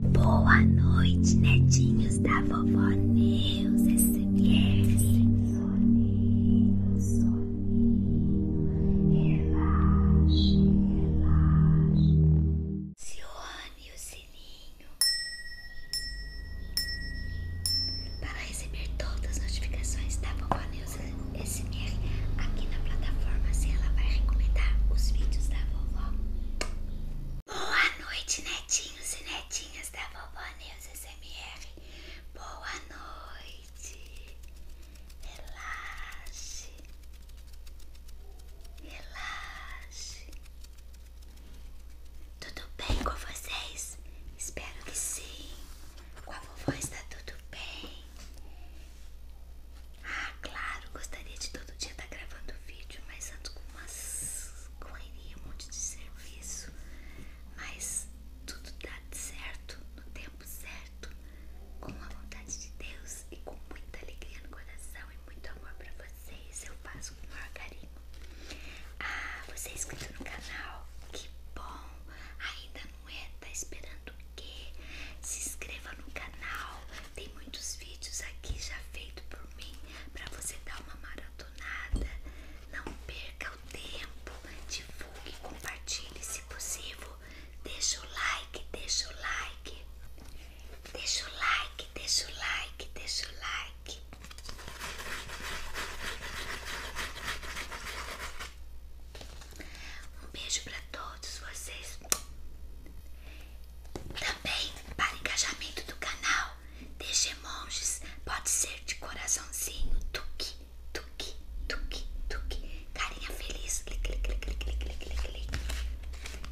Boa noite, netinhos da vovó Neus SMR. É soninho, soninho, relaxe, relaxe. Cione o sininho para receber todas as notificações da vovó Neus SMR aqui na plataforma. Se assim ela vai recomendar os vídeos da vovó. Boa noite, netinhos e netinhas da Vovó Neus SMR. Boa noite. Relaxe. Relaxe. Tudo bem com vocês? Espero que sim. Com a vovó está tudo bem. Ah, claro, gostaria de todo dia estar tá gravando vídeo, mas ando com umas correria, um monte de serviço. Mas tudo dá certo, no tempo certo, com a vontade de Deus e com muita alegria no coração e muito amor pra vocês. Eu passo com o maior carinho. Ah, você é inscrito no canal? Que bom! Ainda não é? Tá esperando se inscreva no canal, tem muitos vídeos aqui já feito por mim para você dar uma maratonada. Não perca o tempo, divulgue, compartilhe se possível. Deixa o like, deixa o like. Deixa o like, deixa o like, deixa o like. Um beijo pra todos vocês. Também, para engajamento do canal, deixe emojis. Pode ser de coraçãozinho, tuque, tuque, tuque, tuque. Carinha feliz,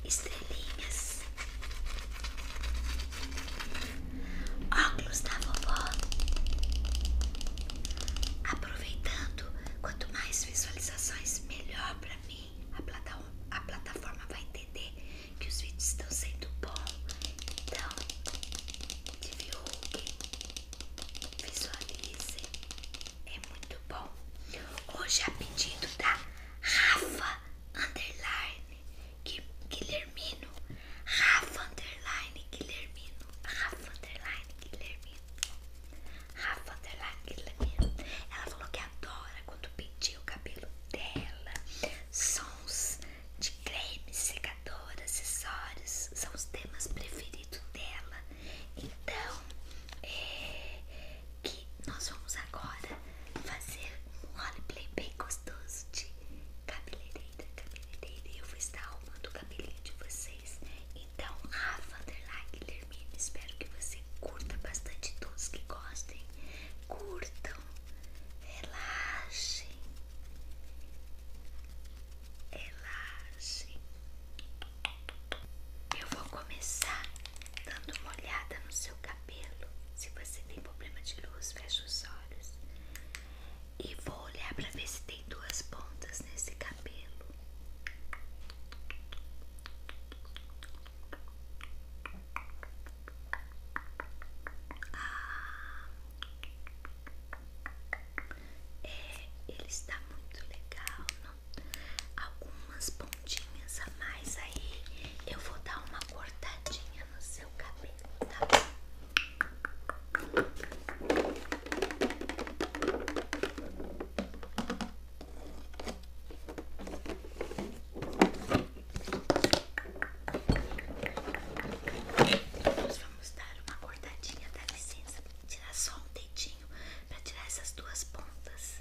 Estrelinhas. Óculos da vovó. Aproveitando, quanto mais visualizações, melhor mim, a plataforma, a plataforma vai entender que os vídeos estão sendo bom Então, divulguem, visualize é muito bom. Hoje a é pedido da Rafa Underline Guilhermino. Rafa Underline Guilhermino. Rafa Underline Guilhermino. Rafa tá tá Ela falou que adora quando penteia o cabelo dela. Sons de cremes, secador, acessórios são os temas preferidos dela. Então, é que nós vamos agora fazer um roleplay bem gostoso de cabeleireira, cabeleireira. Eu vou estar arrumando o cabelinho de vocês. Então, Rafa Underline Guilhermina, espero que você curta bastante todos que gostem. Curtam, relaxem, relaxem. Eu vou começar dando uma olhada no seu cabelo. Se você tem problema de luz, fecha os olhos. E vou olhar para ver se tem coloquei duas pontas nesse cabelo. Ah, é, ele está muito legal. Algumas pontinhas a mais aí. Eu vou dar uma cortadinha no seu cabelo, tá bom? Nós vamos dar uma cortadinha, da licença, para tirar só um dedinho para tirar essas duas pontas.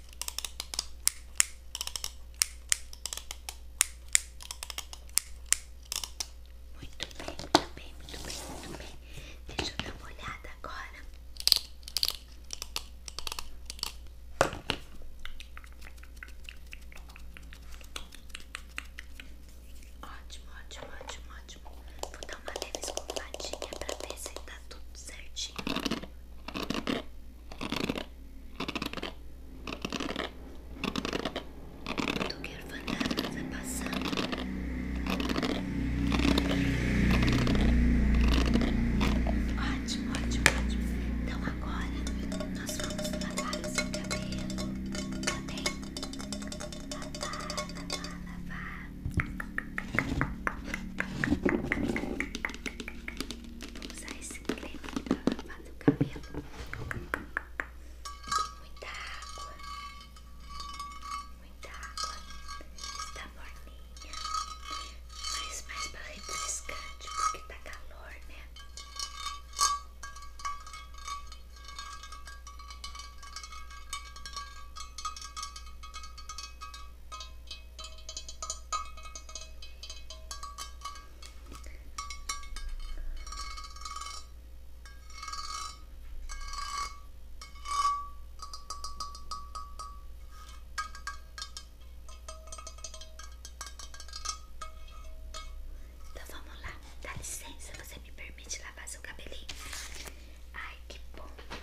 Muito bem, muito bem, muito bem, muito bem. Deixa eu dar uma olhada agora. Ótimo, ótimo, ótimo, ótimo. Vou dar uma leve escovadinha pra ver se tá tudo certinho. Tu quer fantasmas tá passando? Ótimo, ótimo, ótimo. Então agora nós vamos lavar o seu cabelo. Tá bem? Lavar, lavar, lavar. Vou usar esse creme pra lavar no cabelo. Muita água. Muita água. Está morninha. Mas mais pra refrescante, porque tá calor, né? Então vamos lá, dá licença, você me permite lavar seu cabelinho? Ai, que bom!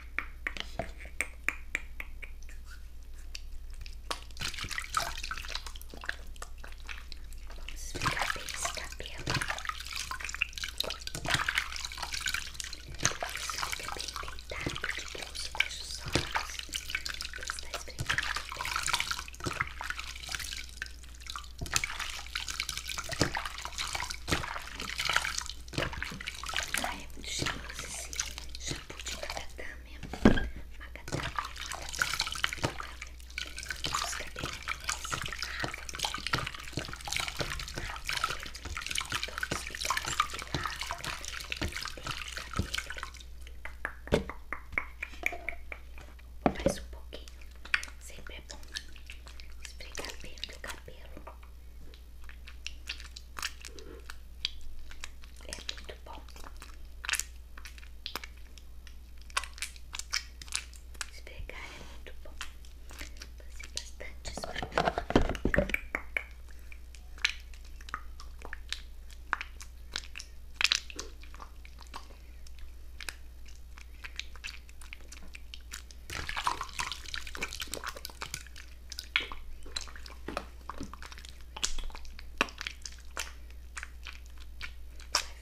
Vamos esfregar bem esse cabelo. Isso fica bem deitado de bolso, fecha os olhos. Você está esfregando bem. Ai, é muito cheiroso esse tipo de macadâmia, macadâmia, macadâmia, macadâmia. Os cabelos nessa garrafa todos picados de lado, mais um pouquinho, sempre é bom esfregar bem o cabelo é muito bom. Esfregar é muito bom. Fazer bastante esfregar.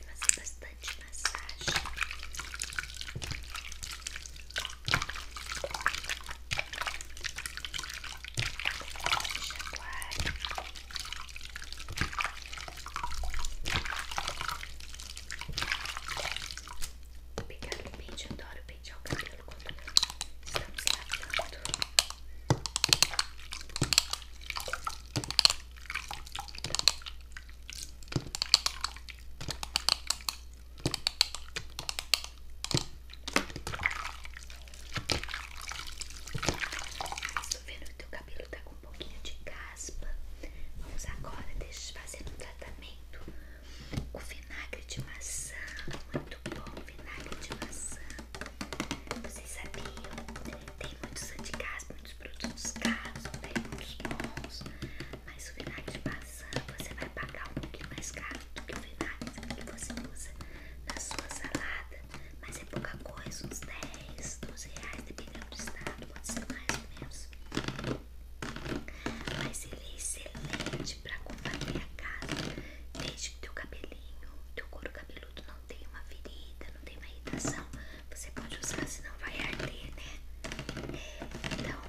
Vai fazer bastante massagem. Chacoalhe. Vou pegar o pente, adoro pentear o cabelo. Estamos lavando. Estou vendo que o teu cabelo tá com um pouquinho de caspa. Vamos agora fazer um tratamento o vinagre de maçã, muito bom vinagre de maçã. Vocês sabiam? Tem muitos anticasos, muitos produtos caros, tem muitos bons, mas o vinagre de maçã você vai pagar um pouquinho mais caro do que o vinagre que você usa na sua salada, mas é pouca coisa, uns 10, 12 reais, dependendo do estado, pode ser mais ou menos. Mas ele é excelente pra combater a casa. Desde que teu cabelinho, teu couro cabeludo não tenha uma ferida, não tenha uma irritação. Você pode usar, senão vai arder, né? Então,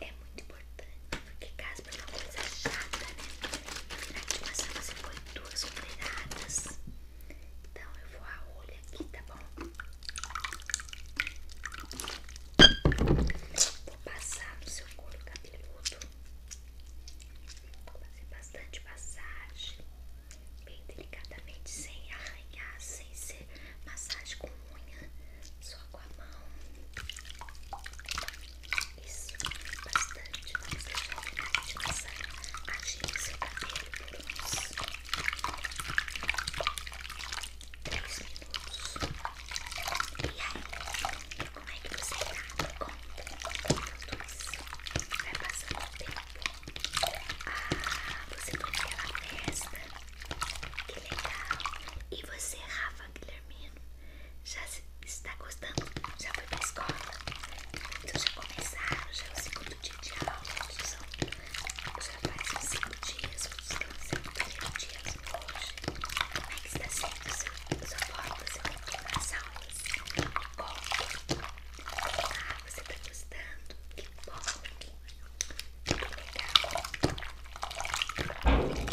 é muito importante. Porque caspa é uma coisa chata, né? E virar de você põe duas colheradas. Então, eu vou a olho aqui, tá bom? Vou passar no seu couro cabeludo. Vou fazer bastante massagem. Bem delicadamente, sem arranhar, sem ser massagem com unha, só com a mão. Isso, bastante. Vamos deixar o final massagem agir no seu cabelo por uns 3 minutos. E aí, como é que você tá? Conta minutos. Vai passando o tempo. Ah, você foi naquela festa. Que legal. E você, Rafa Guilhermino, já está gostando? Já foi pra escola? Então já começaram, já é o segundo dia de aula, já faz uns 5 dias, uns 5 dias hoje, que está sendo seu, sua porta, seu retorno às aulas. Que Ah, você está gostando? Que bom! Que legal! É muito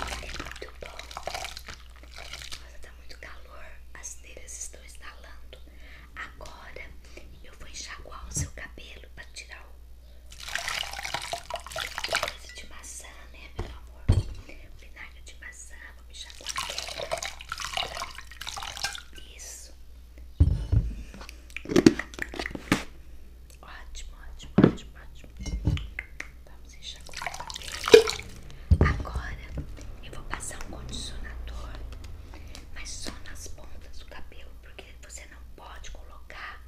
bom! Nossa, está muito calor, as telhas estão estalando. Agora eu vou enxaguar o seu cabelo para tirar o Coisa de maçã, né, meu amor? Vinagre de maçã, vou mexer com aqui. Isso. Ótimo, ótimo, ótimo, ótimo. Vamos enxaguar com Agora eu vou passar um condicionador, mas só nas pontas do cabelo, porque você não pode colocar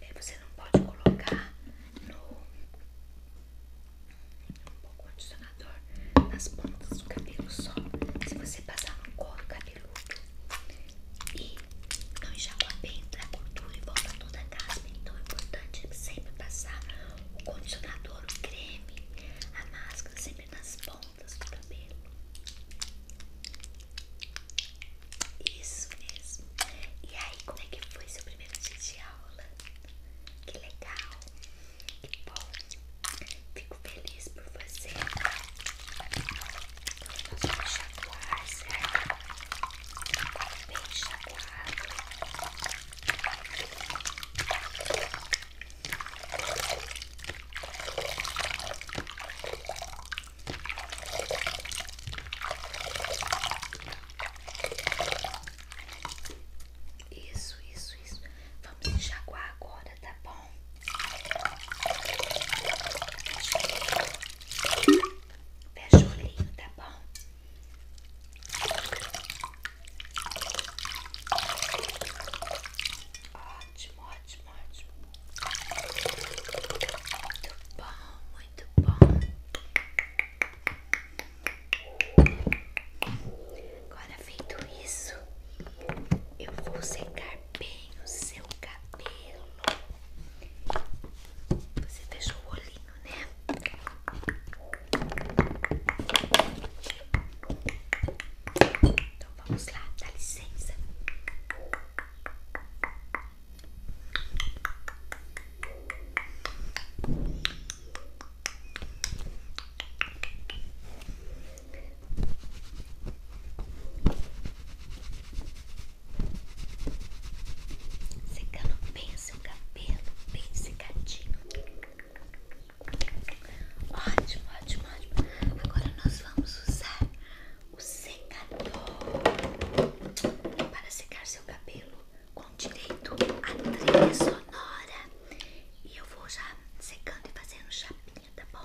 é, você não pode colocar no condicionador nas pontas do cabelo só se você passar no couro cabeludo e não enxaguar bem pra gordura e volta toda a caspa então é importante sempre passar o condicionador, o creme a máscara sempre nas pontas pontas do cabelo. Isso mesmo. E aí, como é que foi seu primeiro dia de aula? Que legal. Que bom. Fico feliz por você. Nós vamos chacoar, certo? Bem chacoado. Isso, isso, isso. Vamos enxaguar agora, tá bom? Fecha o olhinho, tá bom? Ótimo, ótimo, ótimo. Muito bom, muito bom. Agora feito isso, eu vou secar bem o seu cabelo. Você fechou o olhinho, né? Então vamos lá, dá licença. Secando bem o seu cabelo, bem secadinho. Ótimo, ótimo, ótimo. Agora nós vamos usar o secador para secar seu cabelo com direito à trilha sonora. E eu vou já secando e fazendo chapinha, tá bom?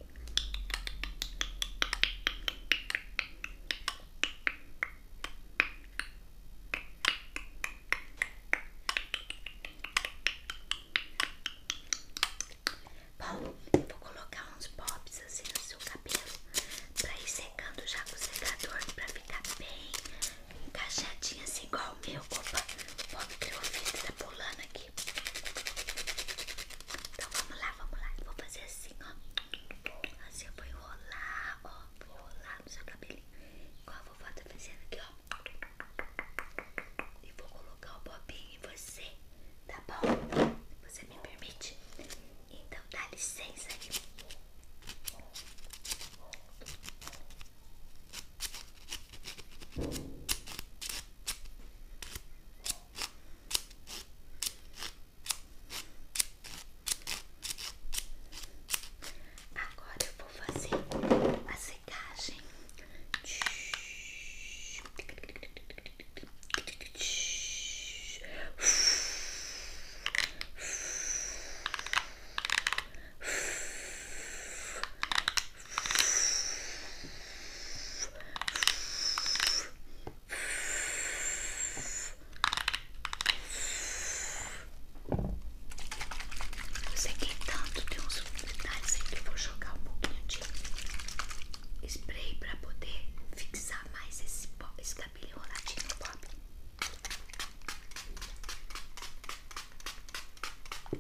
Paulo, vou colocar uns pops assim no seu cabelo pra ir secando já com o secador pra ficar bem encaixadinho assim igual o meu. Opa, o pop criofita tá pulando aqui. Então vamos lá, vamos lá. Vou fazer assim, ó. Assim eu vou enrolar, ó. Vou enrolar no seu cabelinho. Igual a vovó tá fazendo aqui, ó. E vou colocar o bobinho em você, tá bom? Você me permite? Então dá licença aí. Tá Agora eu vou fazer a secagem. Eu sequei é tanto, tem uns detalhes aqui. Eu vou jogar um pouquinho de spray pra poder fixar mais esse, esse cabelo enroladinho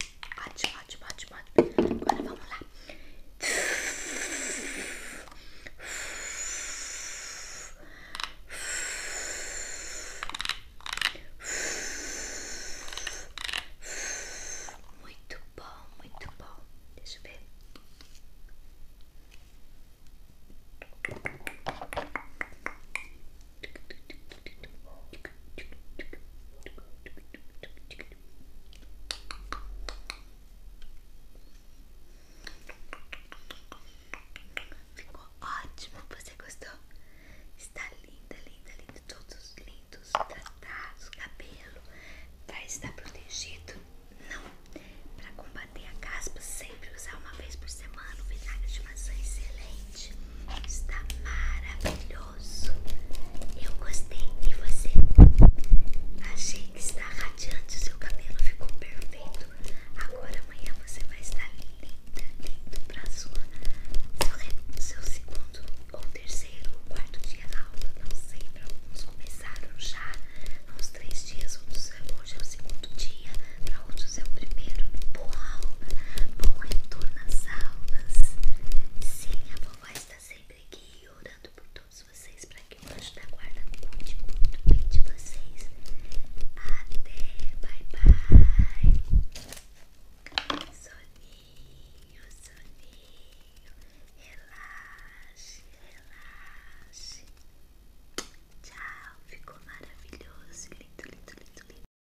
Ótimo, ótimo, ótimo, ótimo. Agora vamos lá. Muito bom, muito bom. Deixa eu ver. Ficou ótimo, você gostou? Está linda, linda, linda, todos lindos, tratados, cabelo para estar protegido. Não, para combater a caspa sempre usar uma vez por semana o vinagre de maçã excelente está maravilhoso. Eu gostei e você? Achei que está radiante, seu cabelo ficou perfeito. Agora amanhã você vai estar linda, linda para sua seu, segundo ou terceiro ou quarto dia da aula, não sei. Para alguns começaram já há uns três dias, outros é hoje é o segundo dia, para outros é o primeiro. Uau! Bom retorno à sala. Sim, a vovó está sempre aqui orando por todos vocês para que o anjo da guarda cuide muito bem de vocês. Até, bye bye. Soninho, soninho. Relaxe, relaxe. Tchau, ficou maravilhoso, lindo, lindo, lindo, lindo.